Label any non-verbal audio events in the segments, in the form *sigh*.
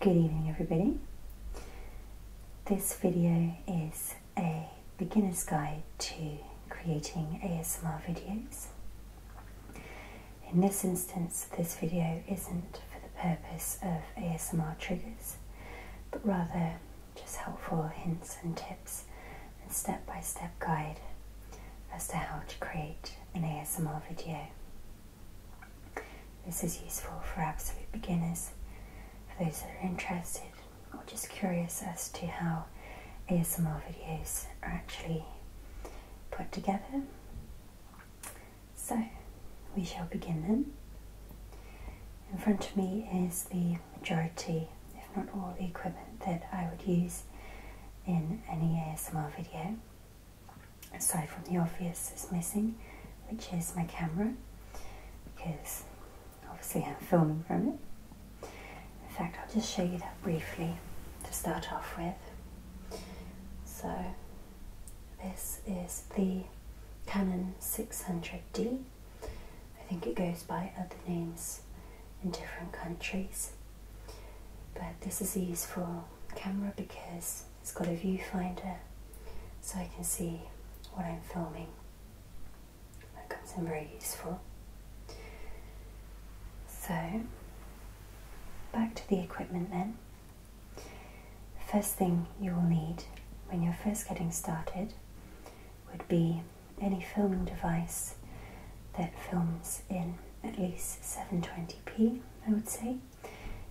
Good evening everybody. This video is a beginner's guide to creating ASMR videos. In this instance this video isn't for the purpose of ASMR triggers but rather just helpful hints and tips and step-by-step guide as to how to create an ASMR video. This is useful for absolute beginners, for those that are interested or just curious as to how ASMR videos are actually put together. So we shall begin then. In front of me is the majority, if not all, the equipment that I would use in any ASMR video aside from the obvious it's missing, which is my camera, because obviously I'm filming from it. In fact, I'll just show you that briefly to start off with. So, this is the Canon 600D. I think it goes by other names in different countries, but this is useful camera because it's got a viewfinder so I can see what I'm filming. That comes in very useful. So, back to the equipment then. first thing you will need when you're first getting started would be any filming device that films in at least 720 I would say,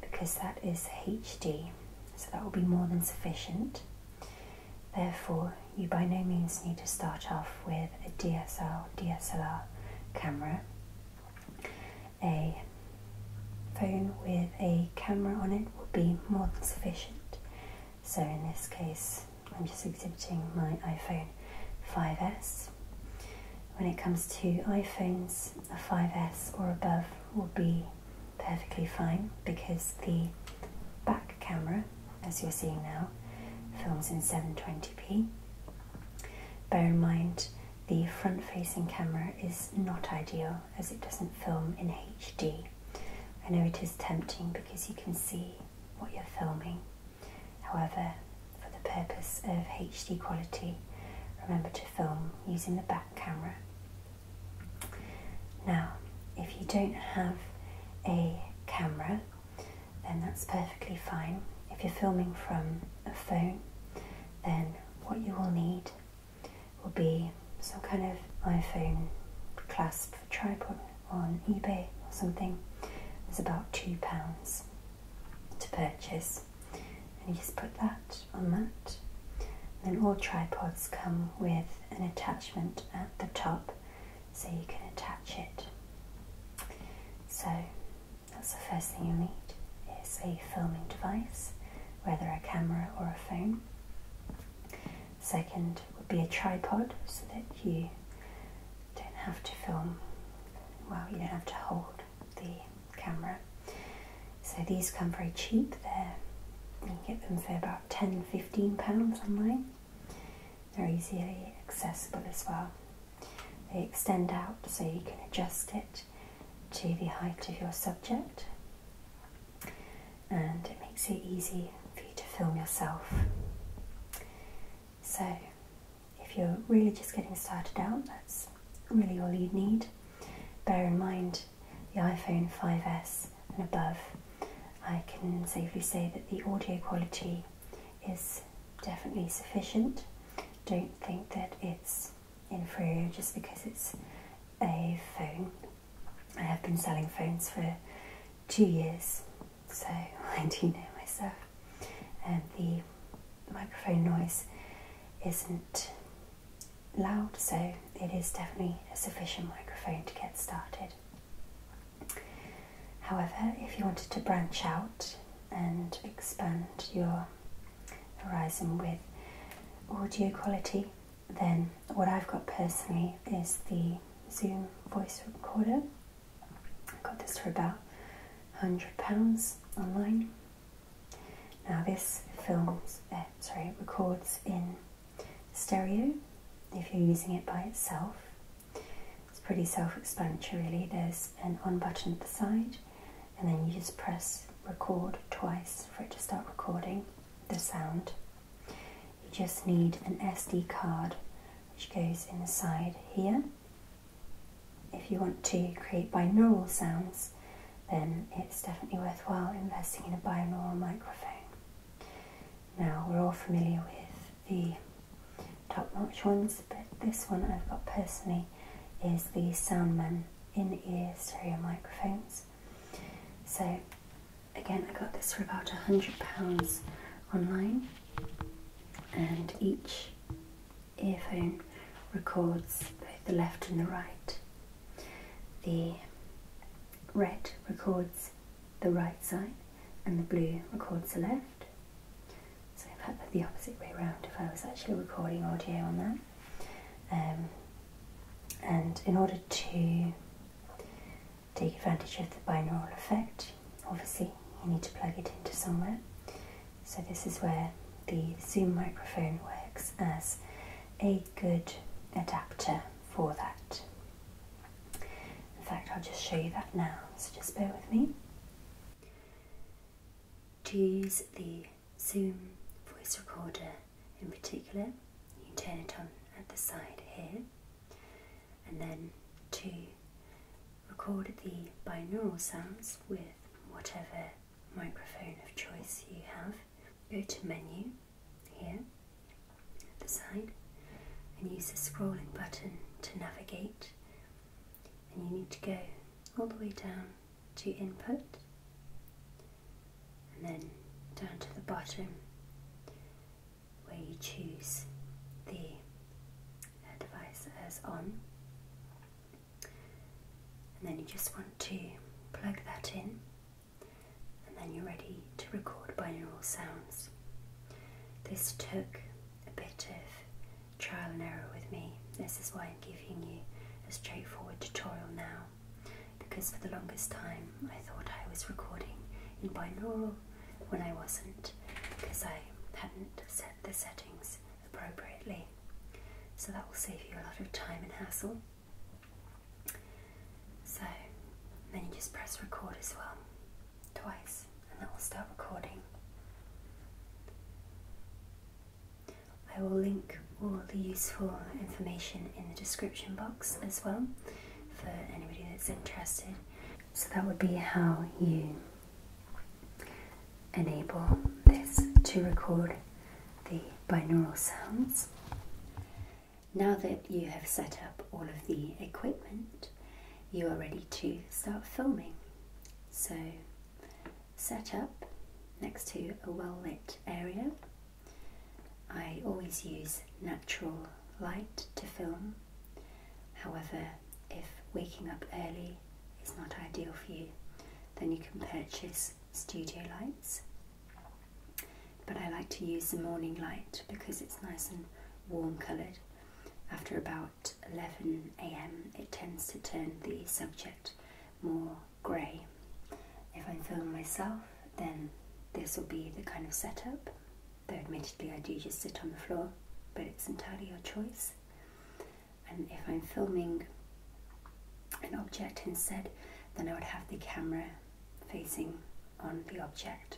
because that is HD, so that will be more than sufficient. Therefore, you by no means need to start off with a DSLR camera. A phone with a camera on it will be more than sufficient. So in this case, I'm just exhibiting my iPhone 5S when it comes to iPhones, a 5S or above will be perfectly fine because the back camera, as you're seeing now, films in 720p. Bear in mind the front facing camera is not ideal as it doesn't film in HD. I know it is tempting because you can see what you're filming However, for the purpose of HD quality, remember to film using the back camera. Now, if you don't have a camera, then that's perfectly fine. If you're filming from a phone, then what you will need will be some kind of iPhone clasp a tripod on eBay or something. is about £2 to purchase. And you just put that on that. then all tripods come with an attachment at the top so you can attach it. So that's the first thing you need is a filming device, whether a camera or a phone. Second would be a tripod so that you don't have to film, well, you don't have to hold the camera. So these come very cheap, There, you can get them for about 10 15 pounds online. They're easily accessible as well. They extend out so you can adjust it to the height of your subject and it makes it easy for you to film yourself. So, if you're really just getting started out, that's really all you need. Bear in mind the iPhone 5S and above, I can safely say that the audio quality is definitely sufficient. Don't think that it's inferior just because it's a phone I have been selling phones for two years, so *laughs* I do know myself. And the microphone noise isn't loud, so it is definitely a sufficient microphone to get started. However, if you wanted to branch out and expand your horizon with audio quality, then what I've got personally is the Zoom voice recorder. I got this for about £100 online. Now this films, uh, sorry, records in stereo if you're using it by itself. It's pretty self-explanatory really. There's an on button at the side and then you just press record twice for it to start recording the sound. You just need an SD card which goes inside here. If you want to create binaural sounds, then it's definitely worthwhile investing in a binaural microphone. Now, we're all familiar with the top notch ones, but this one I've got personally is the Soundman in ear stereo microphones. So Again, I got this for about £100 online, and each earphone records both the left and the right. The red records the right side, and the blue records the left. So, in fact, they the opposite way around if I was actually recording audio on that. Um, and in order to take advantage of the binaural effect, obviously you need to plug it into somewhere. So this is where the Zoom microphone works as a good adapter for that. In fact, I'll just show you that now, so just bear with me. To use the Zoom voice recorder in particular, you turn it on at the side here, and then to record the binaural sounds with whatever microphone of choice you have, go to menu here at the side and use the scrolling button to navigate and you need to go all the way down to input and then down to the bottom where you choose the device as on and then you just want to plug that in and then you're ready to record binaural sounds. This took a bit of trial and error with me. This is why giving you a straightforward tutorial now because for the longest time I thought I was recording in binaural when I wasn't because I hadn't set the settings appropriately. So that will save you a lot of time and hassle. So then you just press record as well twice and that will start recording. I will link all the useful information in the description box as well for anybody that's interested. So that would be how you enable this to record the binaural sounds. Now that you have set up all of the equipment, you are ready to start filming. So set up next to a well lit area. I always use natural light to film, however, if waking up early is not ideal for you, then you can purchase studio lights. But I like to use the morning light because it's nice and warm coloured. After about 11 am it tends to turn the subject more grey. If I'm filming myself, then this will be the kind of setup, though admittedly I do just sit on the floor, but it's entirely your choice. And if I'm filming an object instead, then I would have the camera facing on the object.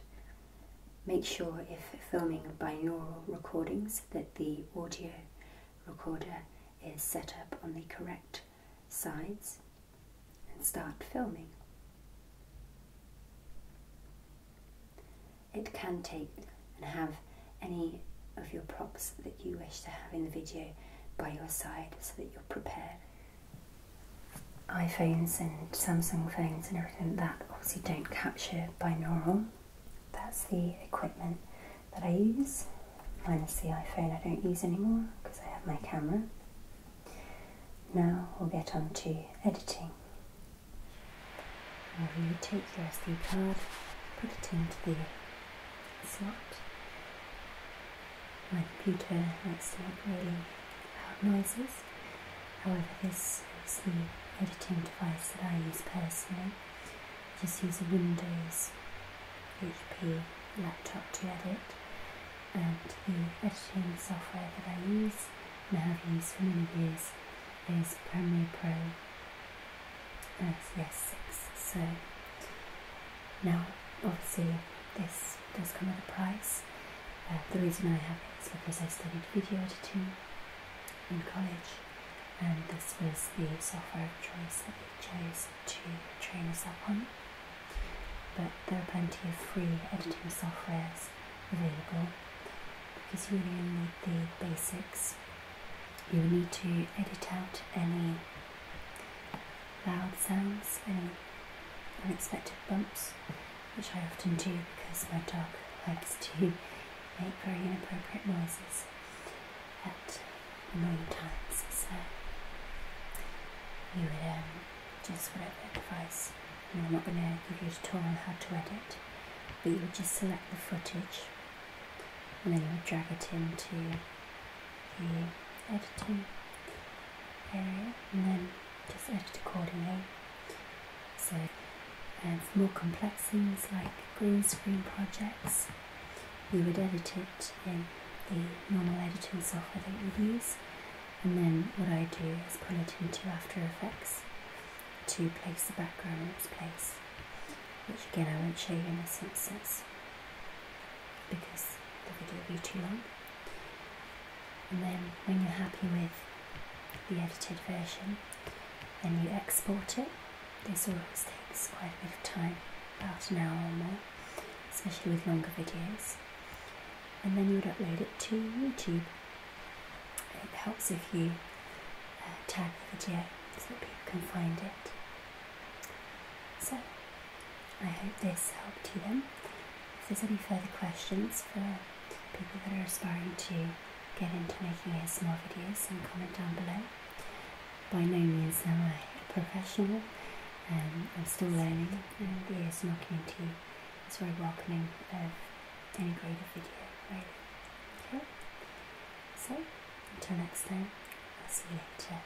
Make sure if filming binaural recordings that the audio recorder is set up on the correct sides and start filming. It can take and have any of your props that you wish to have in the video by your side so that you're prepared. iPhones and Samsung phones and everything that obviously don't capture binaural that's the equipment that I use minus the iPhone I don't use anymore because I have my camera. Now we'll get on to editing. You take your SD card, put it into the slot. My computer likes to make really loud noises However, this is the editing device that I use personally. I just use a Windows HP laptop to edit, and the editing software that I use and have used for many years is Premiere Pro S6. So now, obviously, this does come at a price. Uh, the reason I have it is because I studied video editing in college, and this was the software choice that they chose to train us up on. But there are plenty of free editing softwares available because you only need the basics. You need to edit out any loud sounds, and unexpected bumps, which I often do because my dog likes to make very inappropriate noises at annoying times. So you would um, just whatever advice. You know, I'm not going to give you a tutorial on how to edit, but you would just select the footage and then you would drag it into the editing area and then just edit accordingly so, for more complex things like green screen projects, you would edit it in the normal editing software that you use, and then what I do is pull it into After Effects to place the background in its place, which again I won't show you in a sentence because the video will be too long and then when you're happy with the edited version then you export it this always takes quite a bit of time about an hour or more especially with longer videos and then you would upload it to youtube it helps if you uh, tag the video so that people can find it so i hope this helped you then if there's any further questions for people that are aspiring to get into making ASMR videos and comment down below. By no means am I a professional, um, I'm still learning and the ASMR community is very welcoming of any grade video really. Okay? So, until next time, I'll see you later.